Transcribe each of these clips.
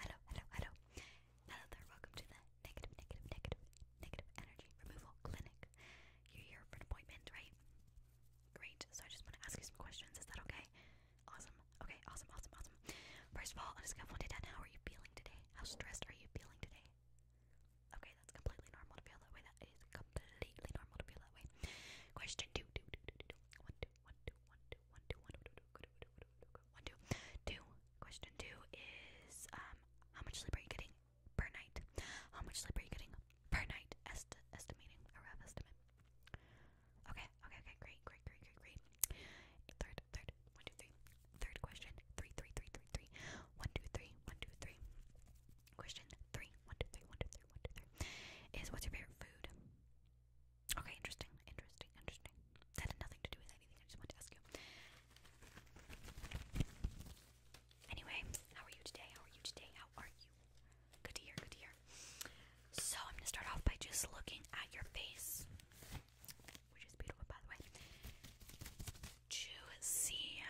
Hello, hello, hello, hello, hello, hello. Hello there, welcome to the negative, negative, negative, negative energy removal clinic. You're here for an appointment, right? Great, so I just want to ask you some questions, is that okay? Awesome, okay, awesome, awesome, awesome. First of all, on a just of 1 to 10, how are you feeling today? How stressed are you feeling today? Okay, that's completely normal to feel that way. That is completely normal to feel that way. Question two, two, two, two, two, two. two, one, two, one, two, one, two, one, two, one, two, two. Question two is um, how much sleep are you getting per night? How much sleep are you getting per night? estimating a rough estimate. Okay, okay, okay, great, great, great, great, great. Third, third, one, two, three. Third question, three, three, three, three, three. One, two, three, one, two, three. Question three, one, two, three, one, two, three, one, two, three. Is what's your favorite food? Okay, interesting, interesting, interesting. That had nothing to do with anything. I just wanted to ask you. Anyway, how are you today? How are you today? How are you? Good to hear, good to hear. So, I'm gonna start off by just looking at your face, which is beautiful, by the way, to see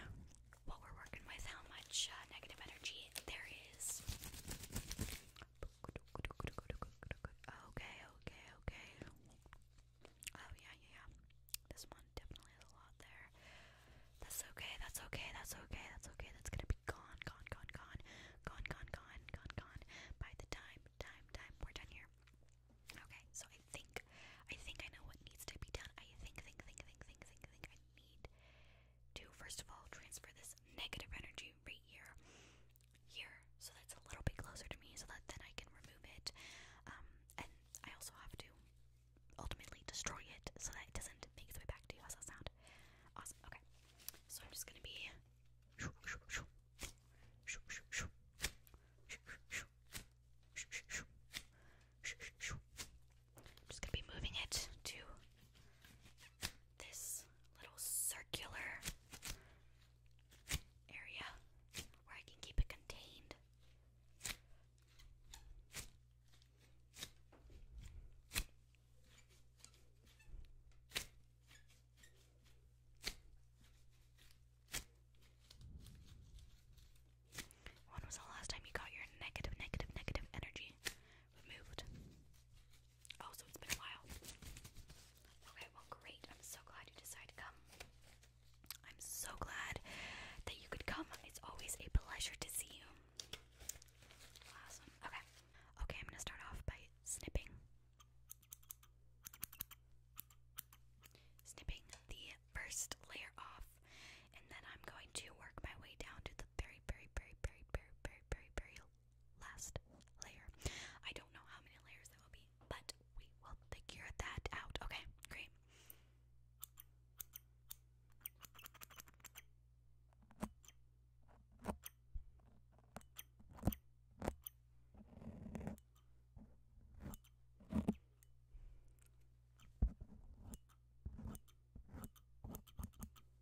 what we're working with, how much uh, negative energy there is. Okay, okay, okay. Oh yeah, yeah, yeah. This one definitely a lot there. That's okay, that's okay, that's okay, that's okay. That's gonna be gone, gone, gone, gone, gone, gone, gone, gone, gone. By the time, time, time, we're done here. Okay, so I think, I think I know what needs to be done. I think, think, think, think, think, think. I need to first of all transfer this negative energy right here here, so that's a little bit closer to me, so that then I can remove it. Um, and I also have to ultimately destroy it so that it doesn't make its way back to you. How's sound? Awesome. Okay, so I'm just gonna be. I'm just gonna be moving it to this little circular area where I can keep it contained. When was the last time you got your negative, negative, negative energy removed? Oh, so it's been a while. Okay, well, great. I'm so glad you decided to come. I'm so glad that you could come. It's always a pleasure to see you. Awesome. Okay. Okay, I'm gonna start off by snipping. Snipping the first layer off, and then I'm going to work my way down to the very, very, very, very, very, very, very, very last layer. I don't know how many layers there will be, but we will figure that out. Okay, great.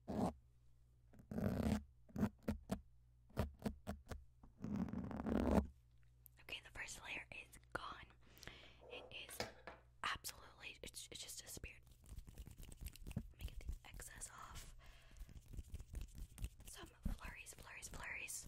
Okay, the first layer is gone. It is absolutely, it's, just disappeared. Let me get the excess off. Some flurries, flurries, flurries.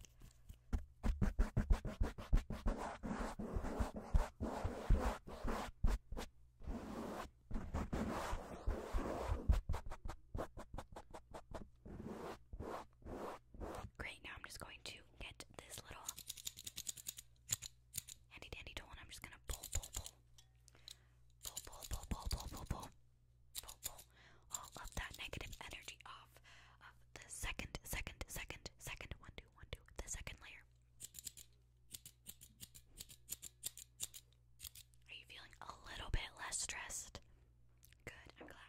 Great, now I'm just going to get this little handy dandy tool and I'm just gonna pull, pull, pull. Pull, pull, pull, pull, pull, pull, pull. Pull, All of that negative energy off of the second, second, second, second, one, two, one, two, the second layer. Are you feeling a little bit less stressed? Good, I'm glad.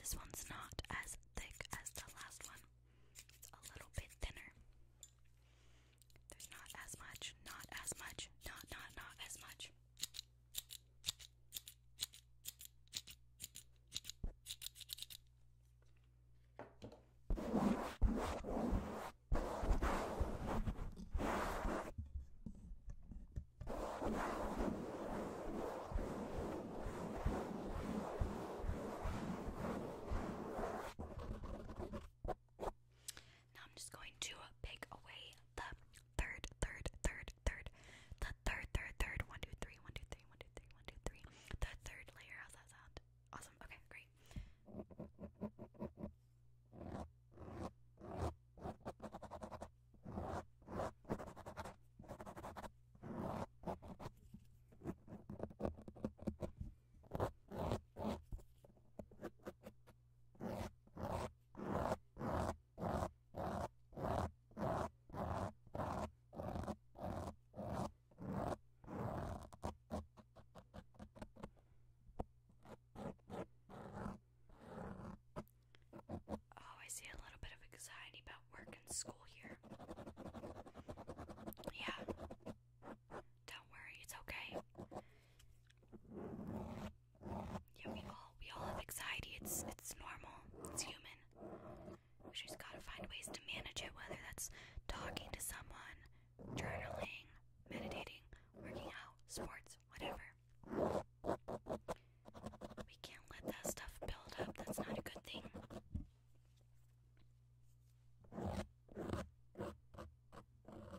This one's not as thick as the last one. It's a little bit thinner. There's not as much, not as much, not, not, not as much. Now I'm just going to pick away the third, third, third, third, the third, third, third, one, two, three, one, two, three, one, two, three, one, two, three, the third layer. How's that sound? Awesome. Okay, great. Oh, I see a little bit of anxiety about work and school here. Yeah. Don't worry, it's okay. Yeah, we all we all have anxiety. It's it's normal. It's human. We just gotta find ways to manage it, whether that's talking to someone, journaling, meditating, working out, sports, whatever. We can't let that stuff build up. That's not a good thing.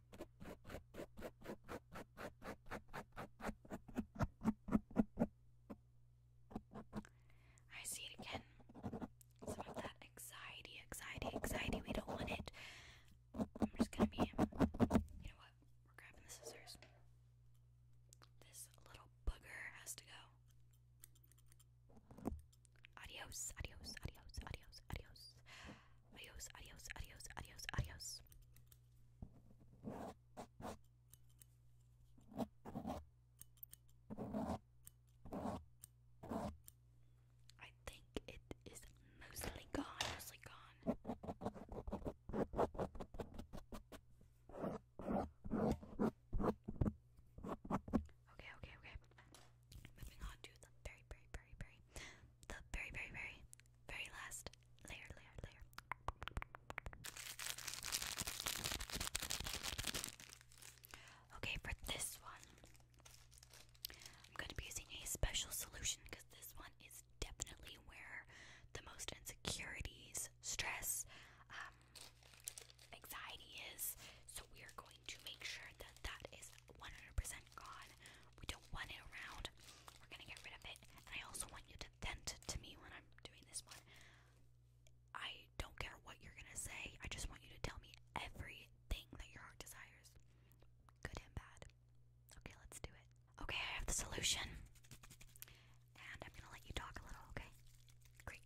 I see it again. Some of that anxiety, anxiety, anxiety. We don't want it. I'm just gonna be. You know what? We're grabbing the scissors. This little booger has to go. Adios, adios, adios, adios, adios. Adios, adios, adios, adios, adios. I think it is mostly gone, mostly gone. Okay, okay, okay. Moving on to the very, very, very, very the very, very, very, very last layer, layer, layer. Okay, for this one, I'm going to be using a special solution because this one is definitely where the most insecurities, stress, um, anxiety is. So we are going to make sure that that is 100% gone. We don't want it around. We're gonna get rid of it. I also want you to vent to me when I'm doing this one. I don't care what you're gonna say. I just want you to tell me everything that your heart desires, good and bad. Okay, let's do it. Okay, I have the solution, and I'm gonna let you talk a little. Okay, great.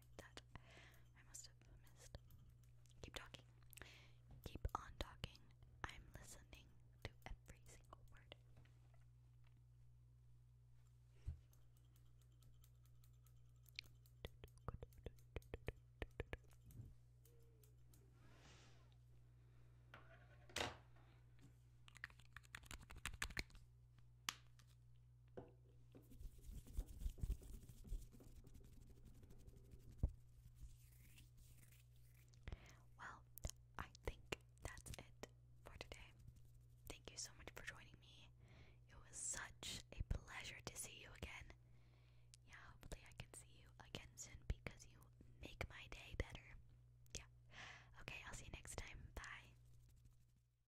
that I must have missed. Keep talking. Keep on talking. I'm listening to every single word. Well, I think that's it for today. Thank you so much for joining me. It was such a pleasure to see you again. Yeah, hopefully I can see you again soon because you make my day better. Yeah. Okay, I'll see you next time. Bye.